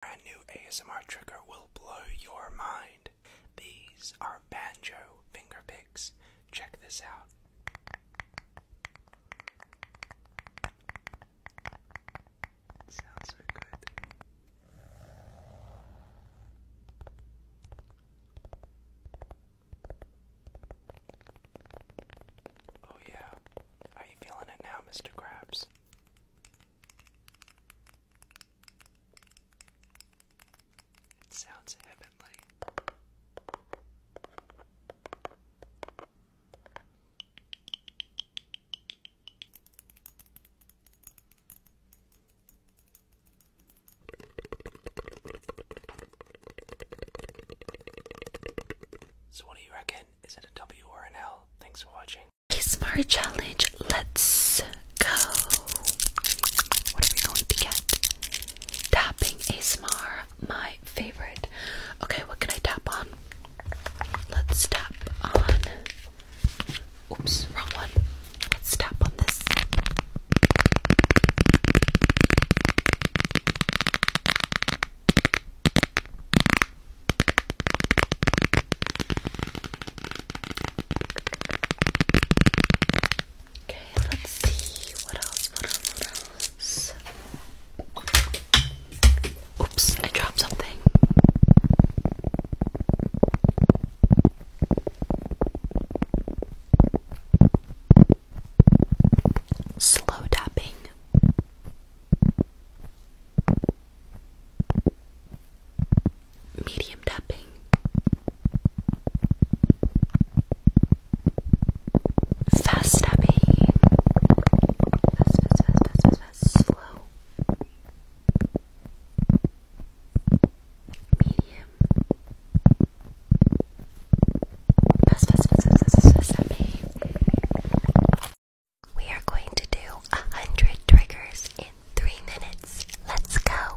Brand new ASMR trigger will blow your mind. These are banjo finger picks. Check this out. Sounds so good. Oh yeah. Are you feeling it now, Mr. Krabs? It sounds heavenly. So, what do you reckon? Is it a W or an L? Thanks for watching. ASMR challenge. Let's go. What are we going to get? Tapping ASMR, my favorite. Okay, what can I tap on? Let's tap on. Oops, wrong one. Let's tap on this. Okay, let's see what else, what else, Oops, I dropped something. Slow tapping medium tapping. Fast tapping. Fast, fast, fast, fast, fast, fast. Slow. Medium. Fast, fast, fast, fast, fast, fast, fast tapping. We are going to do a hundred triggers in three minutes. Let's go.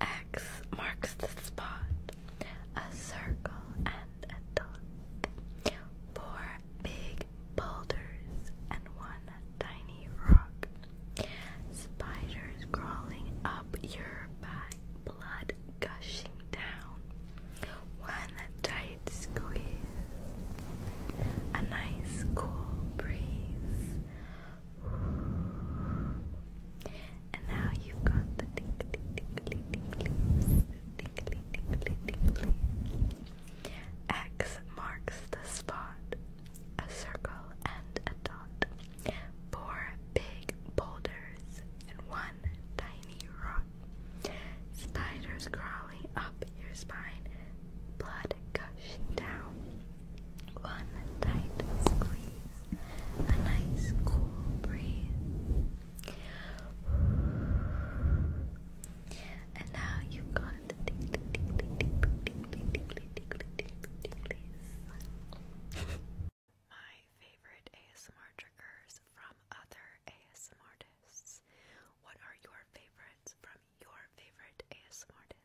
X marks the spot, a circle and a dot. Four big boulders and one tiny rock. Spiders crawling up your back, blood gushing down. One tight squeeze. A nice cool breeze. And now you've got the tickly, tickly, tickly, tickly, tickly, tickly, tickly. X marks the spot, a circle and a dot, four big boulders and one tiny rock, spiders crawling up your spine, blood gushing down, one tight squeeze, a nice cool breeze. My favorite ASMR triggers from other ASMR artists. What are your favorites from your favorite ASMR artist?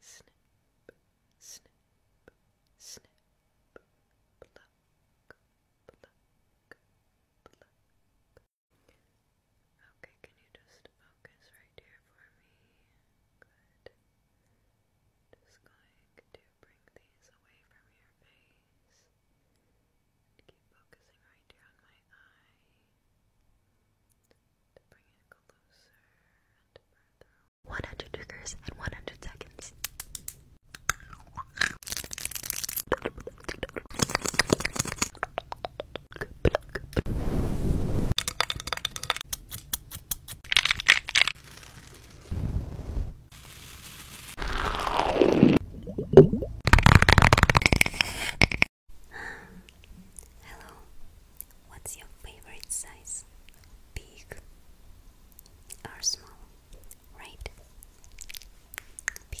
Snip, snip, snip, Okay, can you just focus right here for me? Good. Just going to bring these away from your face. Keep focusing right here on my eye to bring it closer and further. 100 triggers in 100 seconds. Hello, what's your favorite size? Big or small? Right? Big.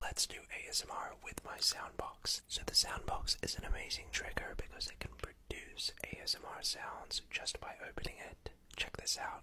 Let's do ASMR with my soundbox. So, the soundbox is an amazing trigger because it can produce ASMR sounds just by opening it. Check this out.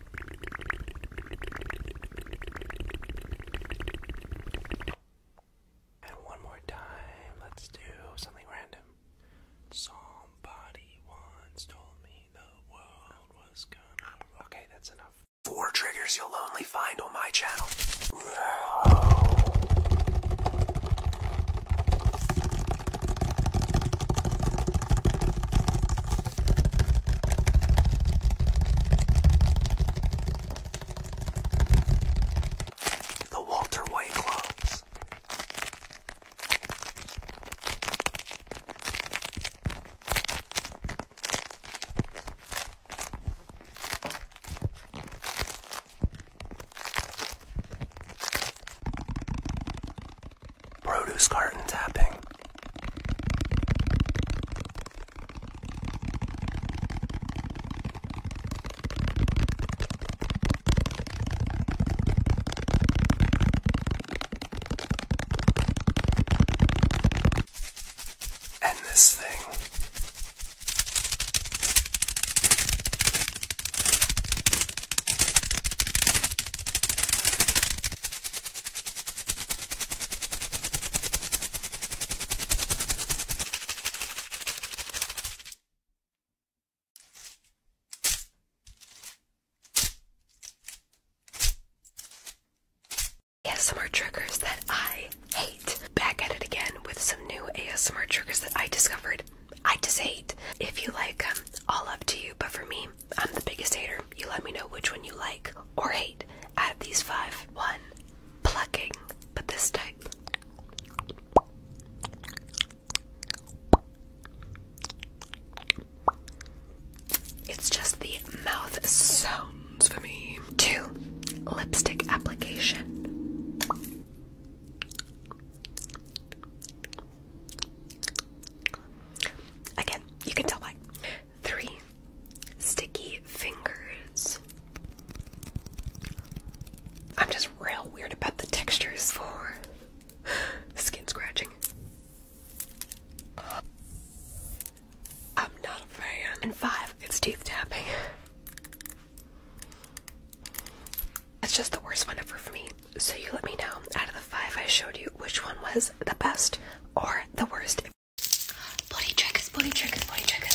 And one more time, let's do something random. Somebody once told me the world was gonna. Okay, that's enough. Four triggers you'll only find on my channel. The Walter White gloves. Produce carton tapping. And this thing. ASMR triggers that I hate. Back at it again with some new ASMR triggers that I discovered. I just hate. If you like them, um, all up to you. But for me, I'm the biggest hater. You let me know which one you like or hate out of these five. One, plucking, but this type. It's just the mouth sounds for me. Two, lipstick application. Again, you can tell why. Three, sticky fingers. I'm just real weird about the textures for skin scratching. I'm not a fan. And five, it's teeth tapping. That's just the worst one ever for me. So you let me know out of the five I showed you which one was the best or the worst. Body triggers, body triggers, body triggers.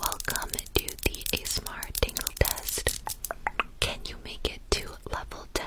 Welcome to the ASMR tingle test. Can you make it to level 10?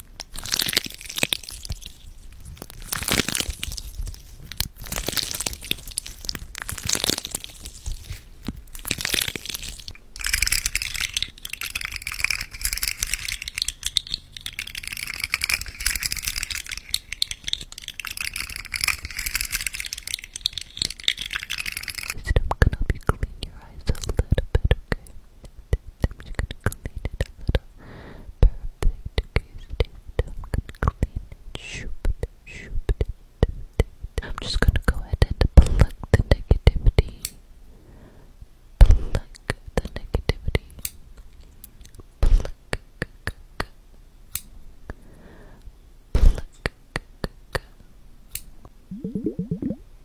Just I'm gonna help you your eyes a little bit, okay? this. I'm just gonna clean it a little. Perfect. Okay, I'm gonna clean it. Shoop it. Shoop I'm just gonna go ahead and plug the negativity. Plug the negativity. Plug. Pluck,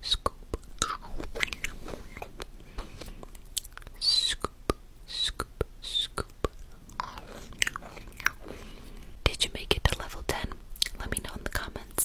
scoop, scoop, scoop, scoop. Did you make it to level 10? Let me know in the comments.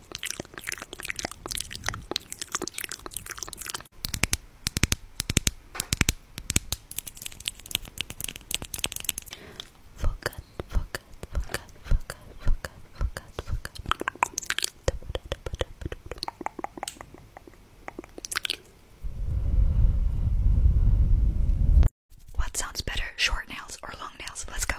Forgot, forgot, forgot, forgot, forgot, forgot, forgot. What sounds better, short nails or long nails? Let's go.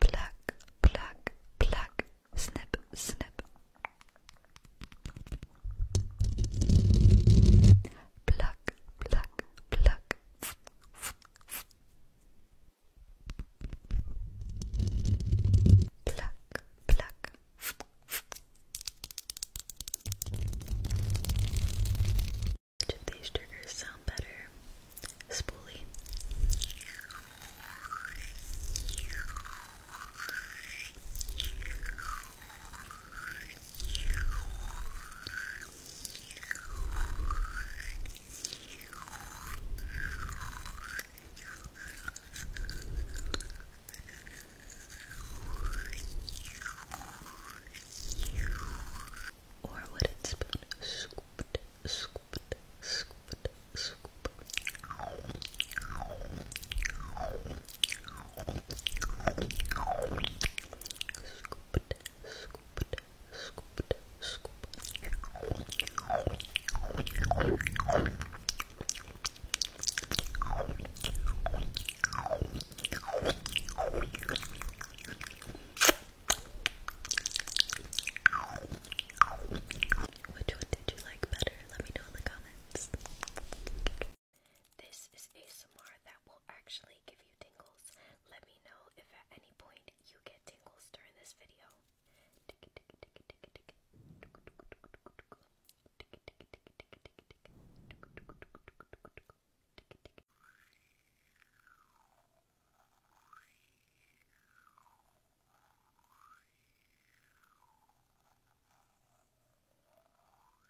Plak, plak, plak, snip, snip, Pluck, pluck, pluck. Pluck, pluck. Which of these triggers sound better? Spoolie. Or would it spoon scooped, scooped, scooped, scooped? Scoop Which one did you like better? Let me know in the comments. This is ASMR that will actually give you tingles. Let me know if at any point you get tingles during this video.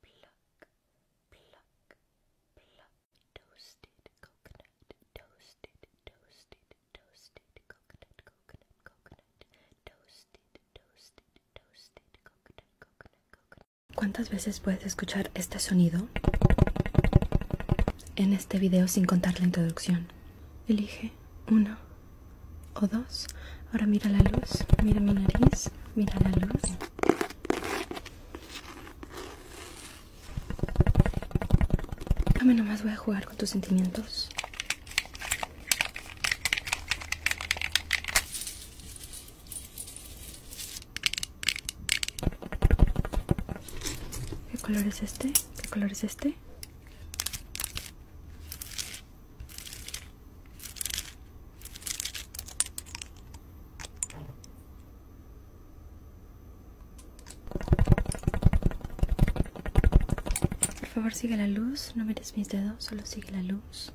pluck, pluck, pluck. Toasted coconut, toasted, toasted, toasted coconut, coconut, coconut. Toasted, toasted, toasted coconut, coconut, coconut. ¿Cuántas veces puedes escuchar este sonido? En este video sin contar la introducción. Elige uno o dos. Ahora mira la luz, mira mi nariz, mira la luz. Dame nomás, voy a jugar con tus sentimientos. ¿Qué color es este? ¿Qué color es este? Por favor sigue la luz, no mires mis dedos, solo sigue la luz.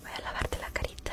Voy a lavarte la carita.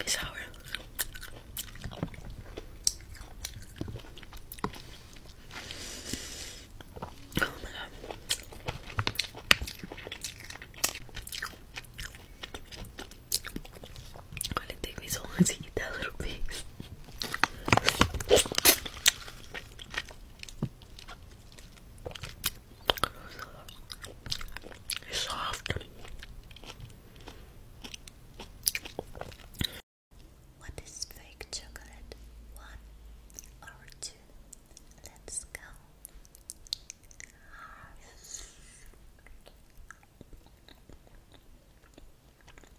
It's sour. Oh my god. Why did it take me so long to eat that little piece? It's soft. What is fake chocolate? One or two? Let's go.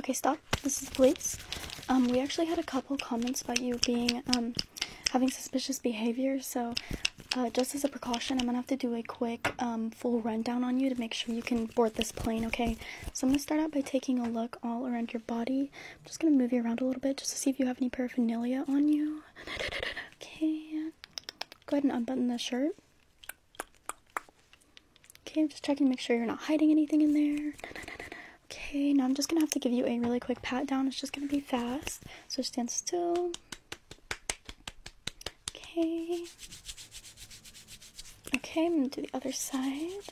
Okay, stop. This is police. Um, we actually had a couple comments about you being um, having suspicious behavior, so uh, just as a precaution, I'm gonna have to do a quick um, full rundown on you to make sure you can board this plane, okay? So I'm gonna start out by taking a look all around your body. I'm just gonna move you around a little bit just to see if you have any paraphernalia on you. Okay. Go ahead and unbutton the shirt. Okay, I'm just checking to make sure you're not hiding anything in there. Okay, now I'm just gonna have to give you a really quick pat down. It's just gonna be fast. So stand still. Okay. Okay, I'm gonna do the other side.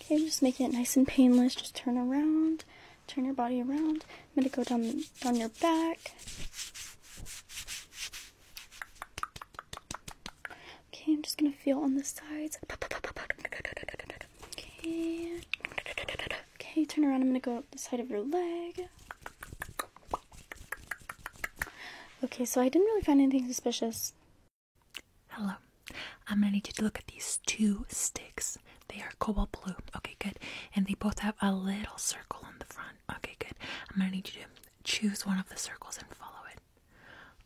Okay, just making it nice and painless. Just turn around, turn your body around. I'm gonna go down down your back. Okay, I'm just gonna feel on the sides. Okay. Okay, turn around. I'm gonna go up the side of your leg. Okay, so I didn't really find anything suspicious. Hello. I'm gonna need you to look at these two sticks. They are cobalt blue. Okay, good. And they both have a little circle on the front. Okay, good. I'm gonna need you to choose one of the circles and follow it.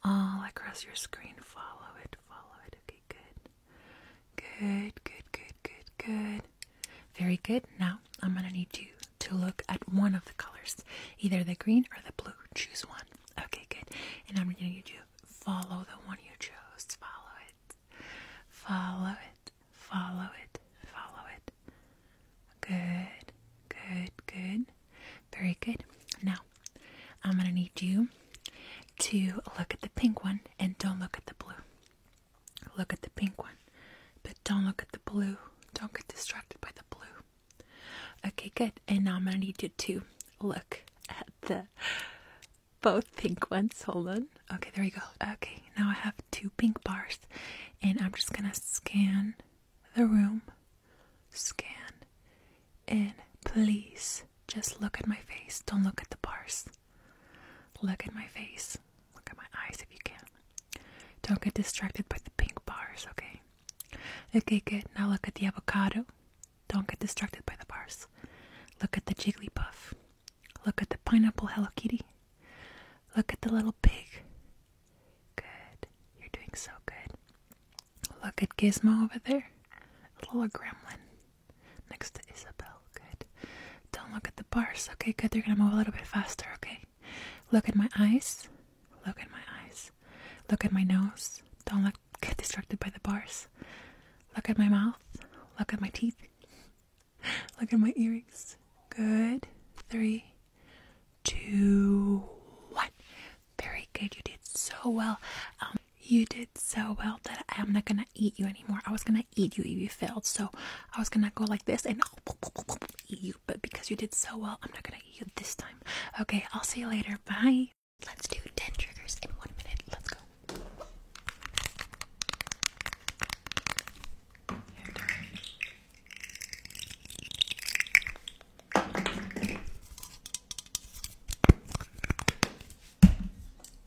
All across your screen, follow it, follow it. Okay, good. Good, good, good, good, good. Very good. Now I'm going to need you to look at one of the colors, either the green or the blue. Choose one. Okay, good. And I'm going to need you to follow the one you chose. Follow it. Follow it. Follow it. Follow it. Good, good, good. Very good. Now I'm going to need you to look at the pink one and don't look at the blue. Look at the pink one. But don't look at the blue. Don't get distracted by the blue. Okay, good. And now I'm going to need you to look at the both pink ones. Hold on. Okay, there you go. Okay, now I have two pink bars. And I'm just going to scan the room. Scan. And please just look at my face. Don't look at the bars. Look at my face. Look at my eyes if you can. Don't get distracted by the pink bars, okay? Okay, good. Now look at the avocado. Don't get distracted by the bars. Look at the jiggly puff. Look at the pineapple Hello Kitty. Look at the little pig. Good. You're doing so good. Look at Gizmo over there. little gremlin. Next to Isabel. Good. Don't look at the bars. Okay, good. they are going to move a little bit faster. Okay. Look at my eyes. Look at my eyes. Look at my nose. Don't look, get distracted by the bars. Look at my mouth. Look at my teeth. look at my earrings. Good. Three, two, one. Very good. You did so well. Um, you did so well that I'm not gonna eat you anymore. I was gonna eat you if you failed. So I was gonna go like this and eat you. But because you did so well, I'm not gonna eat you this time. Okay, I'll see you later. Bye. Let's do 10 triggers in one minute. Let's go.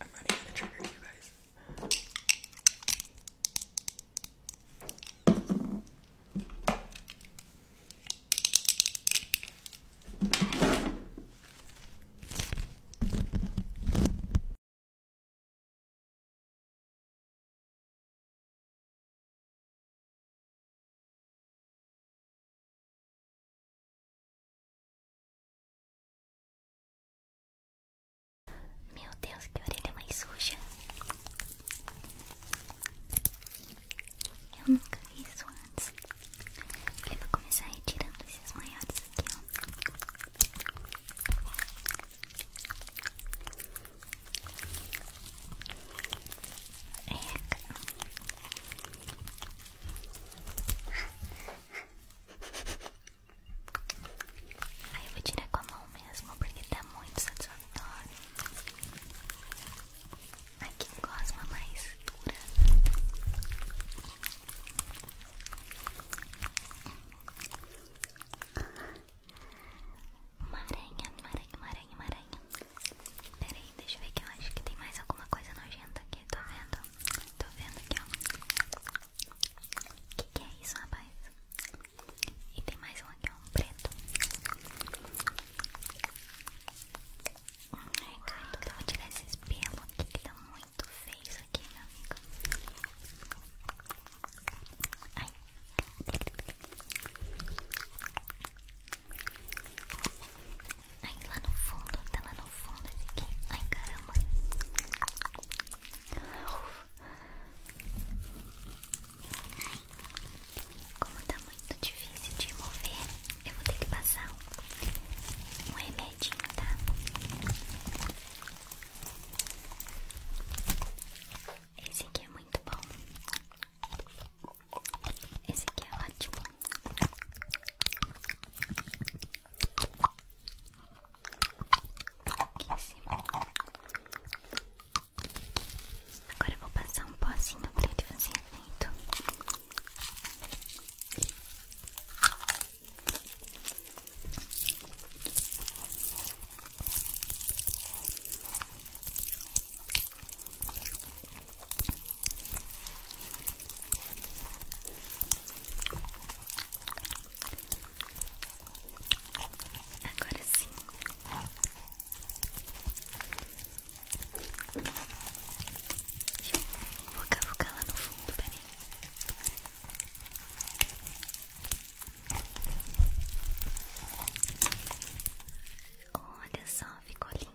I'm running out of trigger, you guys. Meu Deus, que orelha mais suja. Eu nunca vi isso antes. Eu vou começar retirando esses maiores aqui, Aí eu vou tirar com a mão mesmo, porque tá muito satisfatório. Aqui em gosma mais dura. Maranha, maranha, maranha, maranha. Pera aí, deixa eu ver que eu acho que tem mais alguma coisa nojenta aqui. Tô vendo, tô vendo aqui, ó. Que que é isso, rapaz? E tem mais um aqui, ó, um preto. Ai, cara, então eu vou tirar esse espelho aqui que tá muito feio isso aqui, meu amigo. Ai. Ai, lá no fundo, tá lá no fundo esse aqui. Ai, caramba. Ai, como tá muito difícil de mover, eu vou ter que passar um, remédio tá? Esse aqui é muito bom. Esse aqui é ótimo. Aqui Agora eu vou passar um pozinho pra ele fazer Agora sim. Vou cavucar lá no fundo, peraí. Olha só, ficou lindo.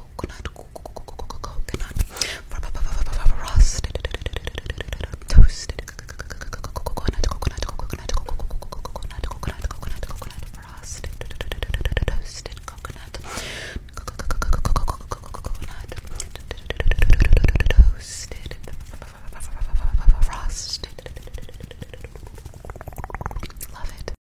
coconut, coconut, roasted, toasted, coconut, coconut, coconut, coconut, coconut, coconut, coconut, frosted, toasted, coconut, coconut, toasted, frosted. Love it.